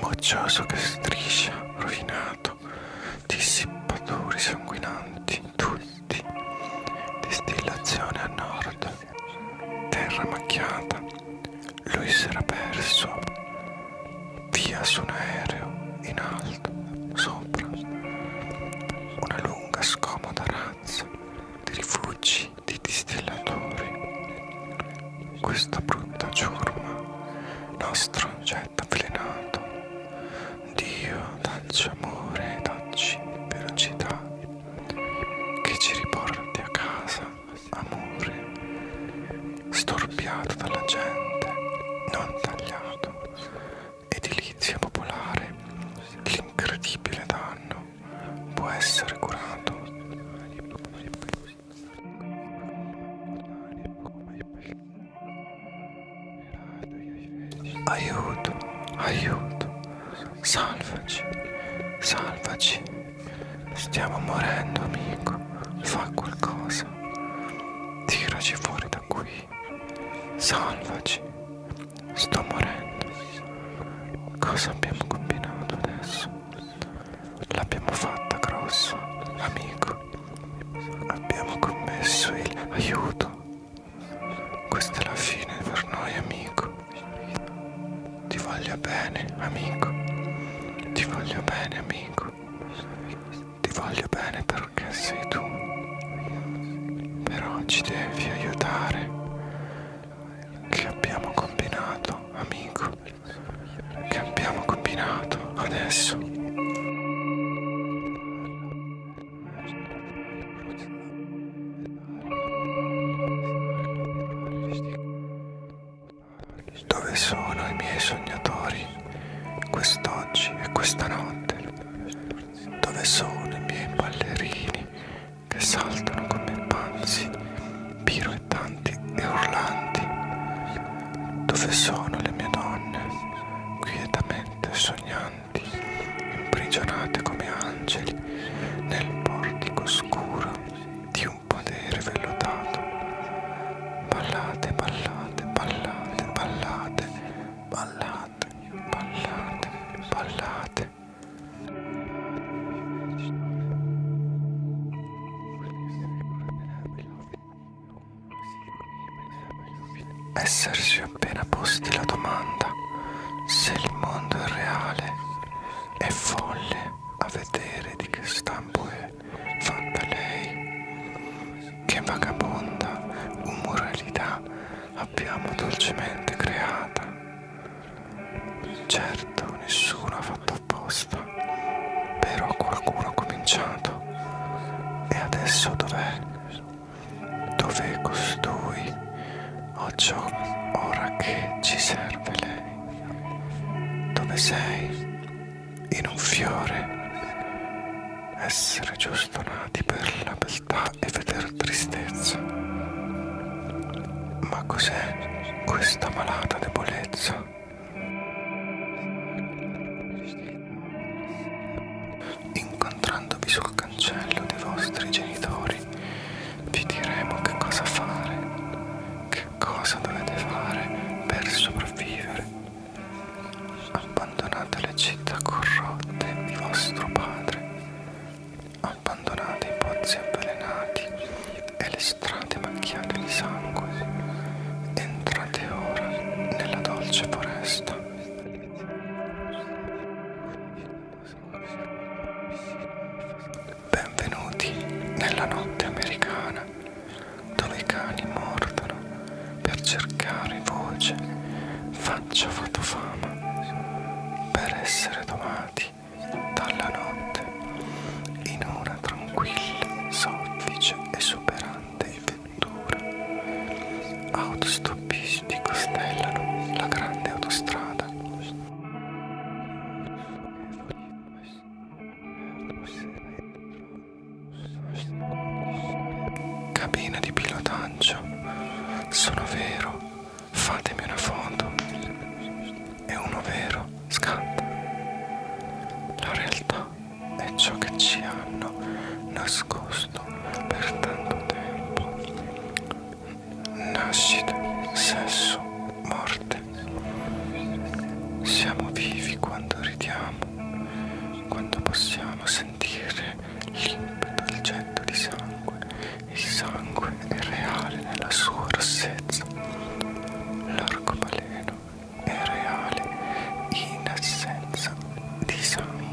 Moccioso che striscia, rovinato, dissipatori sanguinanti, tutti, distillazione a nord, terra macchiata, lui s'era perso via su un aereo in alto, sopra, una lunga scomoda razza di rifugi di distillatori. Questa brutta ciurma, nostro oggetto avvelenato, Dio dacci amore, dacci velocità, che ci riporti a casa amore, storpiato dalla gente, non tagliato, edilizia popolare, l'incredibile danno può essere curato. Aiuto, aiuto, Salvaci, salvaci. Stiamo morendo, amico. Fa qualcosa. Tiraci fuori da qui. Salvaci. Sto morendo. Cosa abbiamo combinato adesso? L'abbiamo fatta grosso, amico. Abbiamo commesso il aiuto. Questa è la fine per noi, amico. Ti voglio bene, amico. Ti voglio bene, amico. Ti voglio bene perché sei tu. Però ci devi aiutare. Che abbiamo combinato, amico. Che abbiamo combinato adesso. Dove sono i miei sognatori quest'oggi e questa notte? Dove sono i miei ballerini che saltano come panzi, piroettanti e urlanti? Dove sono le mie donne quietamente sognando? santi, imprigionate come angeli nel portico scuro di un podere vellotato. Ballate, ballate, ballate, ballate, ballate, ballate, ballate. ballate essersi appena posti la domanda se il mondo è reale è folle a vedere di che stampo è fatta lei che vagabonda umoralità abbiamo dolcemente creata certo nessuno ha fatto apposta però qualcuno ha cominciato e adesso dov'è dove costui o ciò ora che ci serve lei, dove sei in un fiore essere giusto nati per la beltà e veder tristezza. Ma cos'è questa malata debolezza? Incontrandovi sul cancello dei vostri genitori, vi diremo che cosa fare, che cosa dovete fare per sopravvivere. Abbandonate le città corrotte di vostro padre, abbandonate i pozzi avvelenati e le strade macchiate di sangue. Entrate ora nella dolce foresta Benvenuti nella notte americana dove i cani mordono per cercare voce, faccia fama per essere domati dalla notte in una tranquilla, soffice e superante avventura. Autostoppisti costellano la grande autostrada. Cabina di pilotaggio. Sono vero. Fatemi una foto. E uno vero scatta. La realtà è ciò che ci hanno nascosto per tanto tempo. Nascite, sesso, morte. Siamo vivi quando ridiamo, quando possiamo sentire limpido il getto di sangue. Il sangue è reale nella sua rossezza. L'arcobaleno è reale in assenza di sangue.